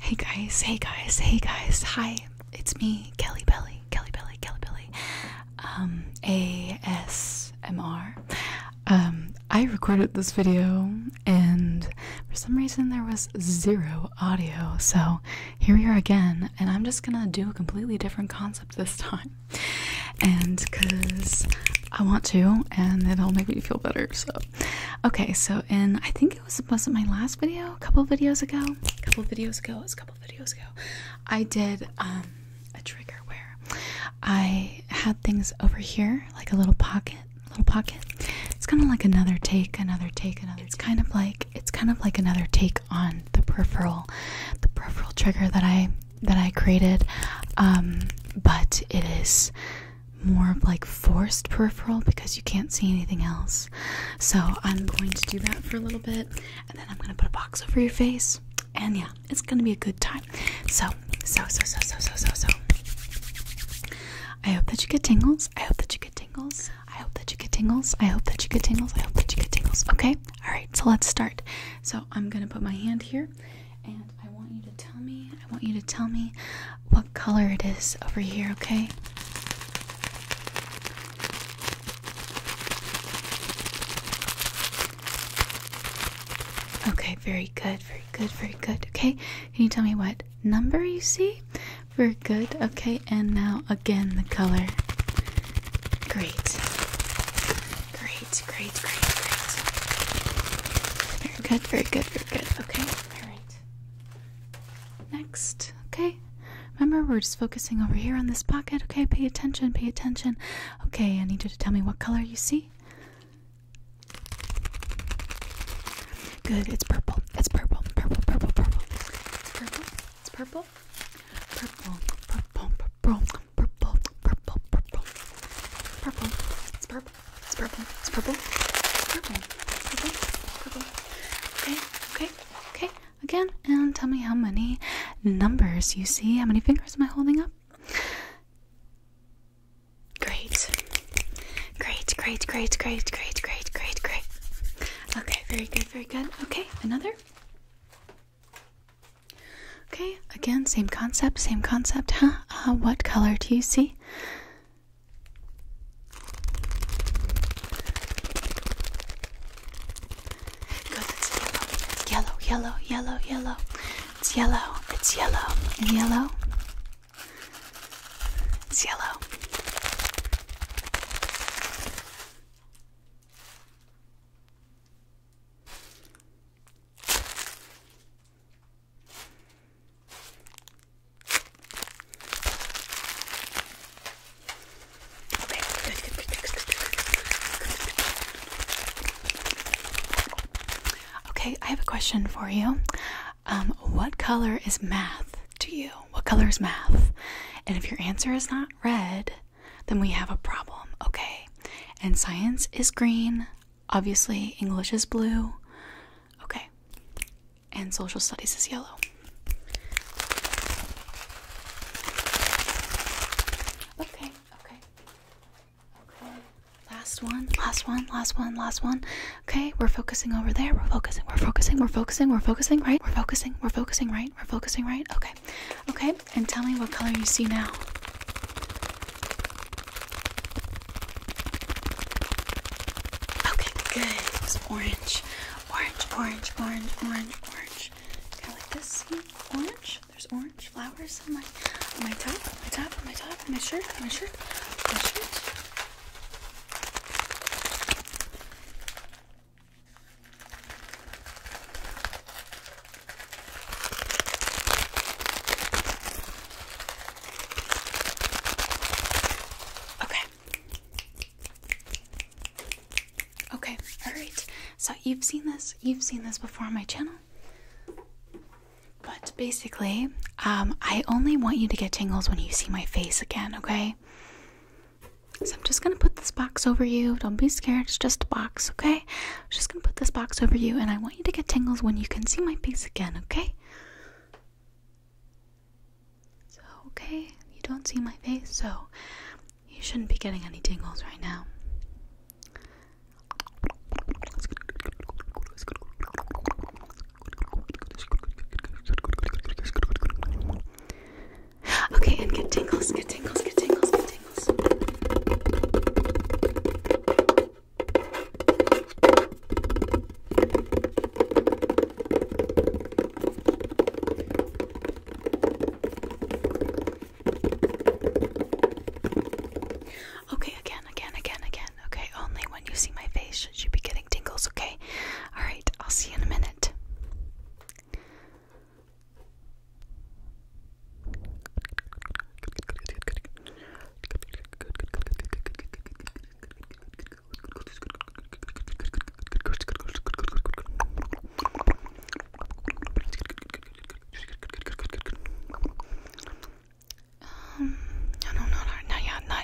Hey guys, hey guys, hey guys, hi. It's me, Kelly Belly, Kelly Belly, Kelly Belly. Um ASMR. Um I recorded this video and for some reason there was zero audio. So, here we are again and I'm just going to do a completely different concept this time and because I want to, and it'll make me feel better. So, okay, so in I think it was was it my last video, a couple videos ago, a couple videos ago, it was a couple videos ago, I did um, a trigger where I had things over here like a little pocket, little pocket. It's kind of like another take, another take, another. It's kind of like it's kind of like another take on the peripheral the peripheral trigger that I that I created um but it is more of like forced peripheral because you can't see anything else. So I'm going to do that for a little bit and then I'm going to put a box over your face and yeah, it's going to be a good time. So, so so so so so so so I hope that you get tingles. I hope that you get tingles. I hope that you get tingles. I hope that you get tingles. I hope that you get tingles. Okay? Alright, so let's start. So I'm gonna put my hand here and I want you to tell me, I want you to tell me what color it is over here, okay? Okay, very good, very good, very good. Okay, can you tell me what number you see? Very good. Okay, and now again the color. Great. Great, great, great, great. Very good, very good, very good. Okay, alright. Next, okay? Remember, we're just focusing over here on this pocket, okay? Pay attention, pay attention. Okay, I need you to tell me what color you see. Good, it's purple. It's purple, purple, purple, purple. It's purple, it's purple purple, purple, purple, purple, purple, purple, purple, purple. It's purple. It's purple. It's purple. It's purple. Purple. Purple. Okay. Okay. Okay. Again, and tell me how many numbers you see. How many fingers am I holding up? Great. Great. Great. Great. Great. Great. Great. Great. Great. Okay. Very good. Very good. Okay. Another. Okay, again, same concept, same concept, huh? Uh, what color do you see? Good, it's yellow, It's yellow, yellow, yellow. It's yellow, it's yellow, and yellow. It's yellow. Okay, Okay, I have a question for you. Um, what color is math? to you? What color is math? And if your answer is not red, then we have a problem, okay? And science is green, obviously, English is blue, okay? And social studies is yellow. Okay, okay, okay. Last one, last one, last one, last one. Okay, we're focusing over there. We're focusing, we're focusing, we're focusing, we're focusing, right? We're focusing, we're focusing, right? We're focusing, right? Okay. Okay, and tell me what color you see now. Okay, good. It's orange. Orange, orange, orange, orange, orange. Kind like this. See? Orange. There's orange flowers on my on my top, on my top, my top, my shirt, on my shirt, on my shirt. Okay. Okay, all right. So you've seen this, you've seen this before on my channel. But basically, um, I only want you to get tingles when you see my face again, okay? So I'm just gonna put this box over you. Don't be scared, it's just a box, okay? I'm just gonna put this box over you and I want you to get tingles when you can see my face again, okay? So, okay, you don't see my face, so you shouldn't be getting any tingles right now. Okay, and get tingles, get tingles, get tingles, get tingles. Okay, again, again, again, again. Okay, only when you see my face gosh, she'd be getting tingles, okay? Alright, I'll see you in a minute. Um, no, no, no, no, no, yeah, no,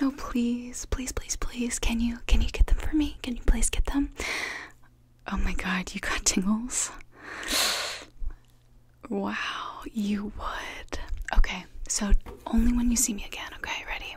No, please, please, please, please. Can you can you get them for me? Can you please get them? Oh my god, you got tingles. Wow, you would. Okay, so only when you see me again, okay? Ready?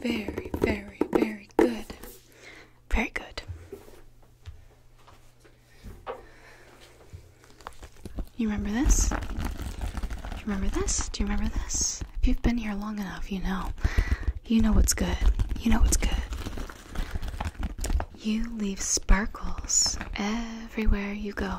Very, very, very good. Very good. You remember this? you remember this? Do you remember this? If you've been here long enough, you know. You know what's good. You know what's good. You leave sparkles everywhere you go.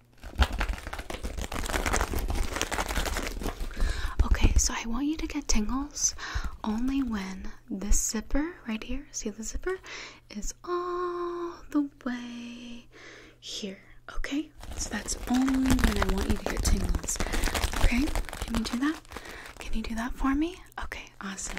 Okay, so I want you to get tingles only when this zipper right here, see the zipper, is all the way here. Okay, so that's only when I want you to get tingles. Okay, can you do that? Can you do that for me? Okay, awesome.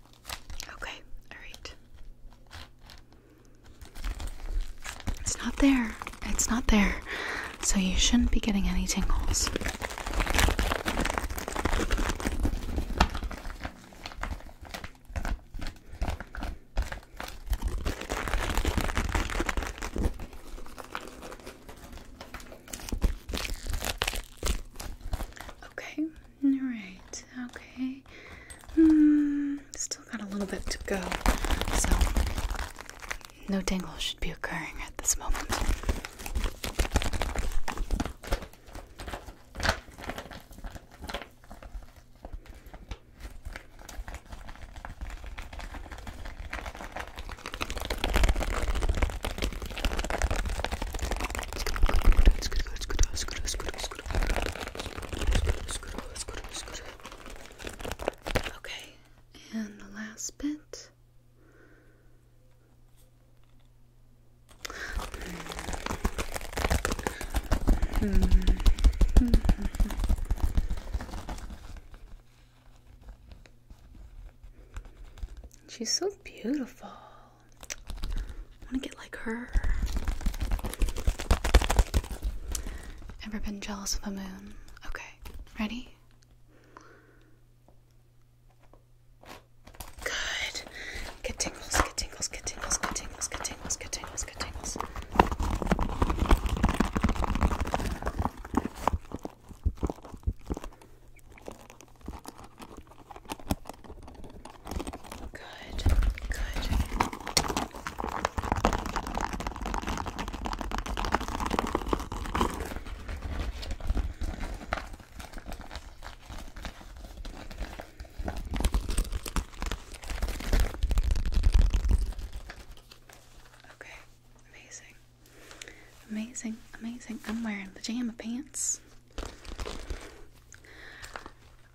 Okay, alright. It's not there. It's not there. So you shouldn't be getting any tingles. Okay, alright, okay. Hmm, still got a little bit to go, so no tingle should be occurring at this moment. Okay, and the last bit. She's so beautiful. I want to get like her. Ever been jealous of a moon? Okay, ready? Good. Get tingles, get tingles, get tingles, get tingles, get tingles, get tingles, get tingles. Good, good. Okay, amazing. Amazing, amazing. I'm wearing pajama pants.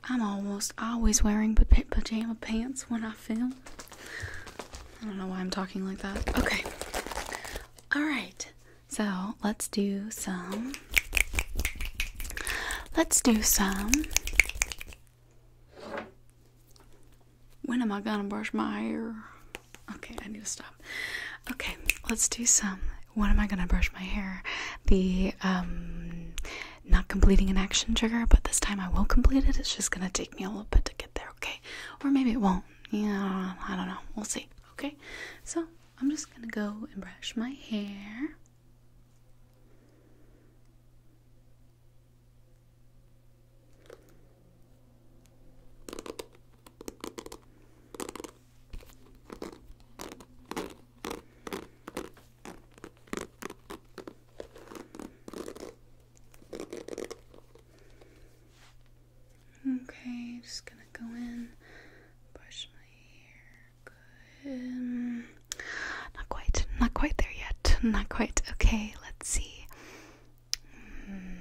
I'm almost always wearing pajama pants when I film. I don't know why I'm talking like that. Okay. All right. So, let's do some Let's do some When am I going to brush my hair? Okay, I need to stop. Okay, let's do some. When am I gonna brush my hair? The um, not completing an action trigger, but this time I will complete it. It's just gonna take me a little bit to get there. Okay, or maybe it won't. Yeah, I don't know. We'll see. Okay, so I'm just gonna go and brush my hair. Okay, just gonna go in, brush my hair. Good. Mm, not quite, not quite there yet. Not quite. Okay, let's see. Mm.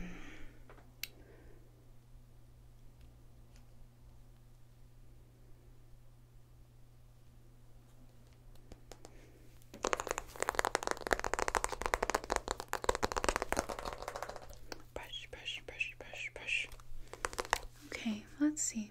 Brush, brush, brush, brush, brush. Okay, let's see.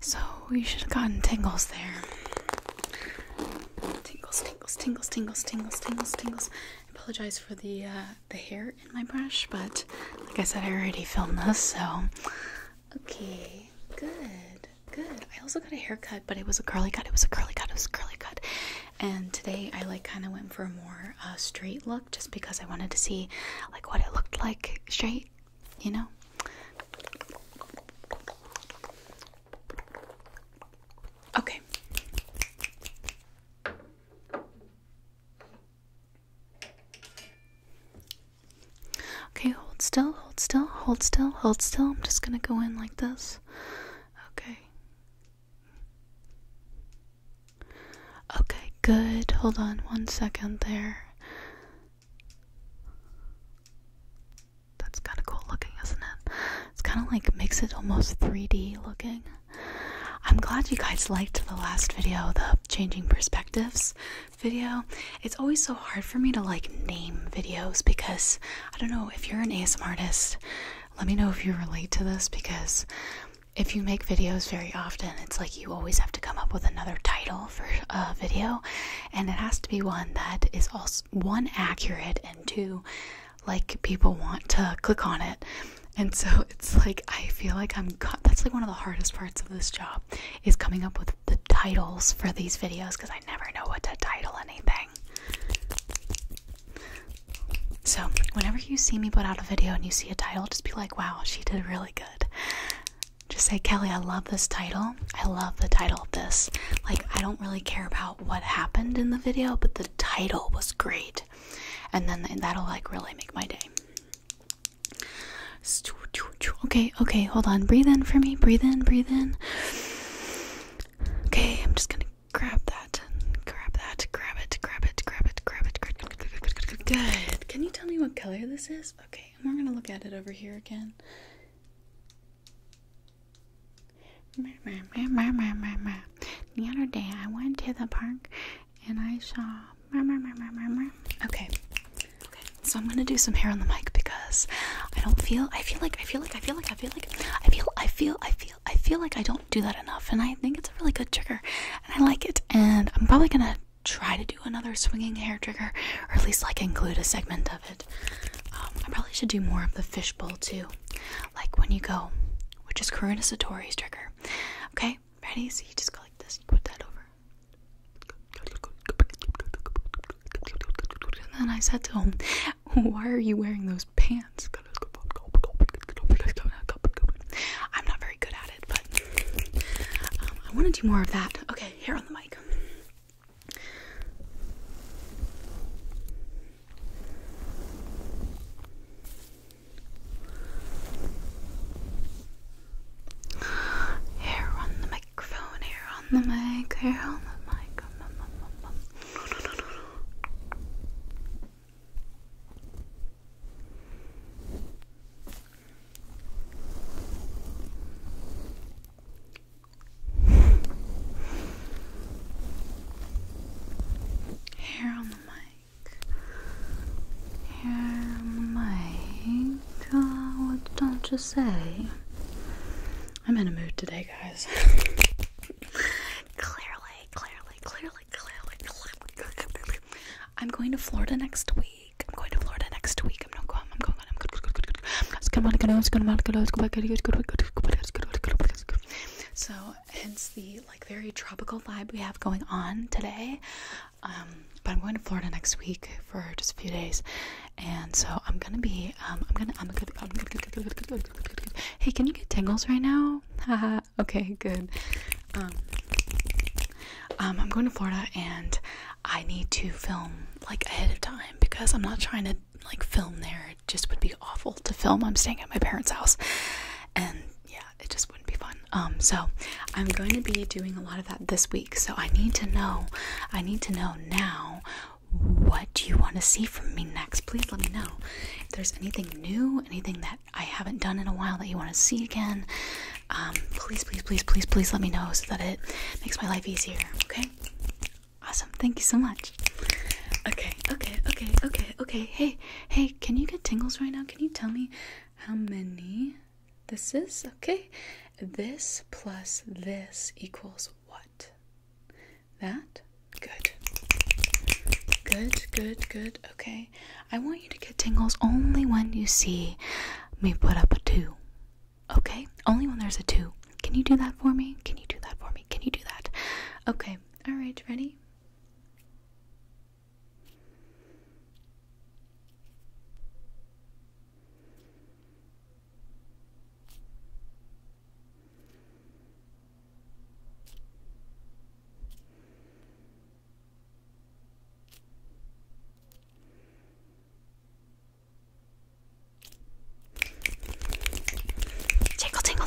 So you should have gotten tingles there. Tingles, tingles, tingles, tingles, tingles, tingles, tingles. I apologize for the uh, the hair in my brush, but like I said, I already filmed this, so okay, good, good. I also got a haircut, but it was a curly cut. It was a curly cut. It was a curly cut, and today I like kind of went for a more uh, straight look just because I wanted to see like what it looked like straight, you know. Okay. Okay, hold still, hold still, hold still, hold still. I'm just gonna go in like this. Okay. Okay, good. Hold on one second there. That's kind of cool looking, isn't it? It's kind of like makes it almost 3D looking. I'm glad you guys liked the last video, the changing perspectives video. It's always so hard for me to like name videos because I don't know if you're an ASM artist let me know if you relate to this because if you make videos very often, it's like you always have to come up with another title for a video, and it has to be one that is also one accurate and two like people want to click on it. And so it's like I feel like I'm that's like one of the hardest parts of this job is coming up with the titles for these videos because I never know what to title anything. So, whenever you see me put out a video and you see a title, just be like, wow, she did really good. Just say, Kelly, I love this title. I love the title of this. Like, I don't really care about what happened in the video, but the title was great. And then that'll, like, really make my day. Okay, okay, hold on. Breathe in for me. Breathe in, breathe in. Okay, I'm just gonna grab that, grab that, grab it, grab it, grab it, grab it, grab it. Good. Can you tell me what color this is? Okay, and we're gonna look at it over here again. The other day I went to the park and I saw. Okay. Okay. So I'm gonna do some hair on the mic because I don't feel. I feel like. I feel like. I feel like. I feel like. I feel. I feel. I feel. I feel like I don't do that enough, and I think it's a really good trigger, and I like it. And I'm probably gonna try to do another swinging hair trigger, or at least like include a segment of it. Um, I probably should do more of the fishbowl too, like when you go, which is Karuna Satori's trigger. Okay, ready? So you just go like this, you put that over. And then I said to him, Why are you wearing those pants? I'm not very good at it, but um, I want to do more of that. Okay, here on the mic. Hair on the microphone, hair on the mic, hair on the mic, no, on the mic. Hair on the mic. Oh, what don't you say? I'm in a mood today, guys. clearly, clearly, clearly, clearly, clearly. I'm going to Florida next week. I'm going to Florida next week. I'm not going. I'm going. I'm going. So, hence the like very tropical vibe we have going on today. Um, but I'm going to Florida next week for just a few days, and so I'm gonna be Hey, can you get tingles right now? okay, good. Um, um, I'm going to Florida and I need to film like ahead of time because I'm not trying to like film there. It just would be awful to film. I'm staying at my parents' house and yeah, it just wouldn't be fun. Um, so I'm going to be doing a lot of that this week. So I need to know, I need to know now what do you want to see from me next? Please let me know if there's anything new, anything that I haven't done in a while that you want to see again. please, please, please, please, please let me know so that it makes my life easier. Okay? Awesome. Thank you so much. Okay, okay, okay, okay, okay. Hey, hey, can you get tingles right now? Can you tell me how many this is? Okay. This plus this equals what? That? Good. Good, good, good. Okay. I want you to get tingles only when you see me put up a 2. Okay? Only when there's a 2. Can you do that for me? Can you do that for me? Can you do that? Okay. Alright, ready?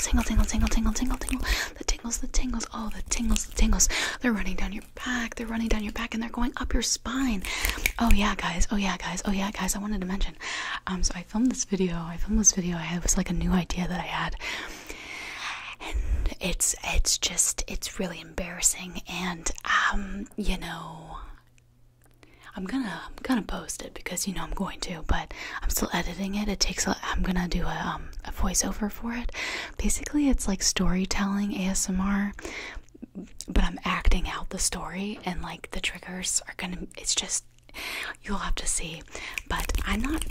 Tingle, tingle, tingle, tingle, tingle, tingle, tingle, tingle. The tingles, the tingles, oh, the tingles, the tingles. They're running down your back. They're running down your back, and they're going up your spine. Oh yeah, guys. Oh yeah, guys. Oh yeah, guys. I wanted to mention. Um, so I filmed this video. I filmed this video. I was like a new idea that I had, and it's it's just it's really embarrassing. And um, you know, I'm gonna I'm gonna post it because you know I'm going to. But I'm still editing it. It takes. A, I'm gonna do a um a voiceover for it. Basically, it's like storytelling ASMR but I'm acting out the story and like the triggers are going to it's just you'll have to see but i'm not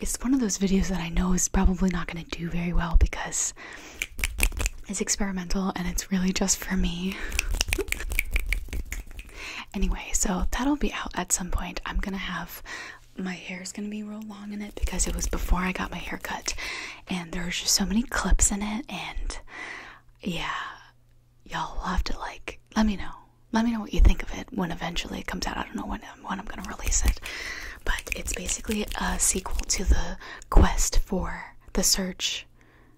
it's one of those videos that i know is probably not going to do very well because it's experimental and it's really just for me anyway so that'll be out at some point i'm going to have my hair is going to be real long in it because it was before i got my hair cut and there's just so many clips in it and yeah y'all will have to like let me know. Let me know what you think of it when eventually it comes out. I don't know when when I'm gonna release it, but it's basically a sequel to the quest for the search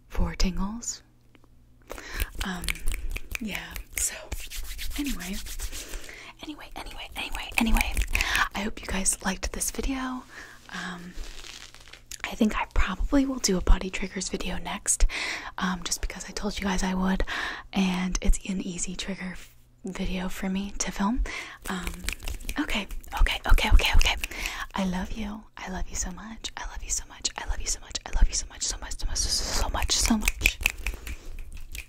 for tingles. Um, yeah. So anyway, anyway, anyway, anyway, anyway. I hope you guys liked this video. Um, I think I probably will do a body triggers video next, just because I told you guys I would, and it's an easy trigger video for me to film. okay, okay, okay, okay, okay. I love you. I love you so much. I love you so much. I love you so much. I love you So much. So much. So much. So much.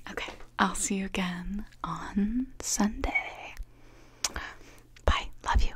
Okay. I'll see you again on Sunday. Bye. Love you.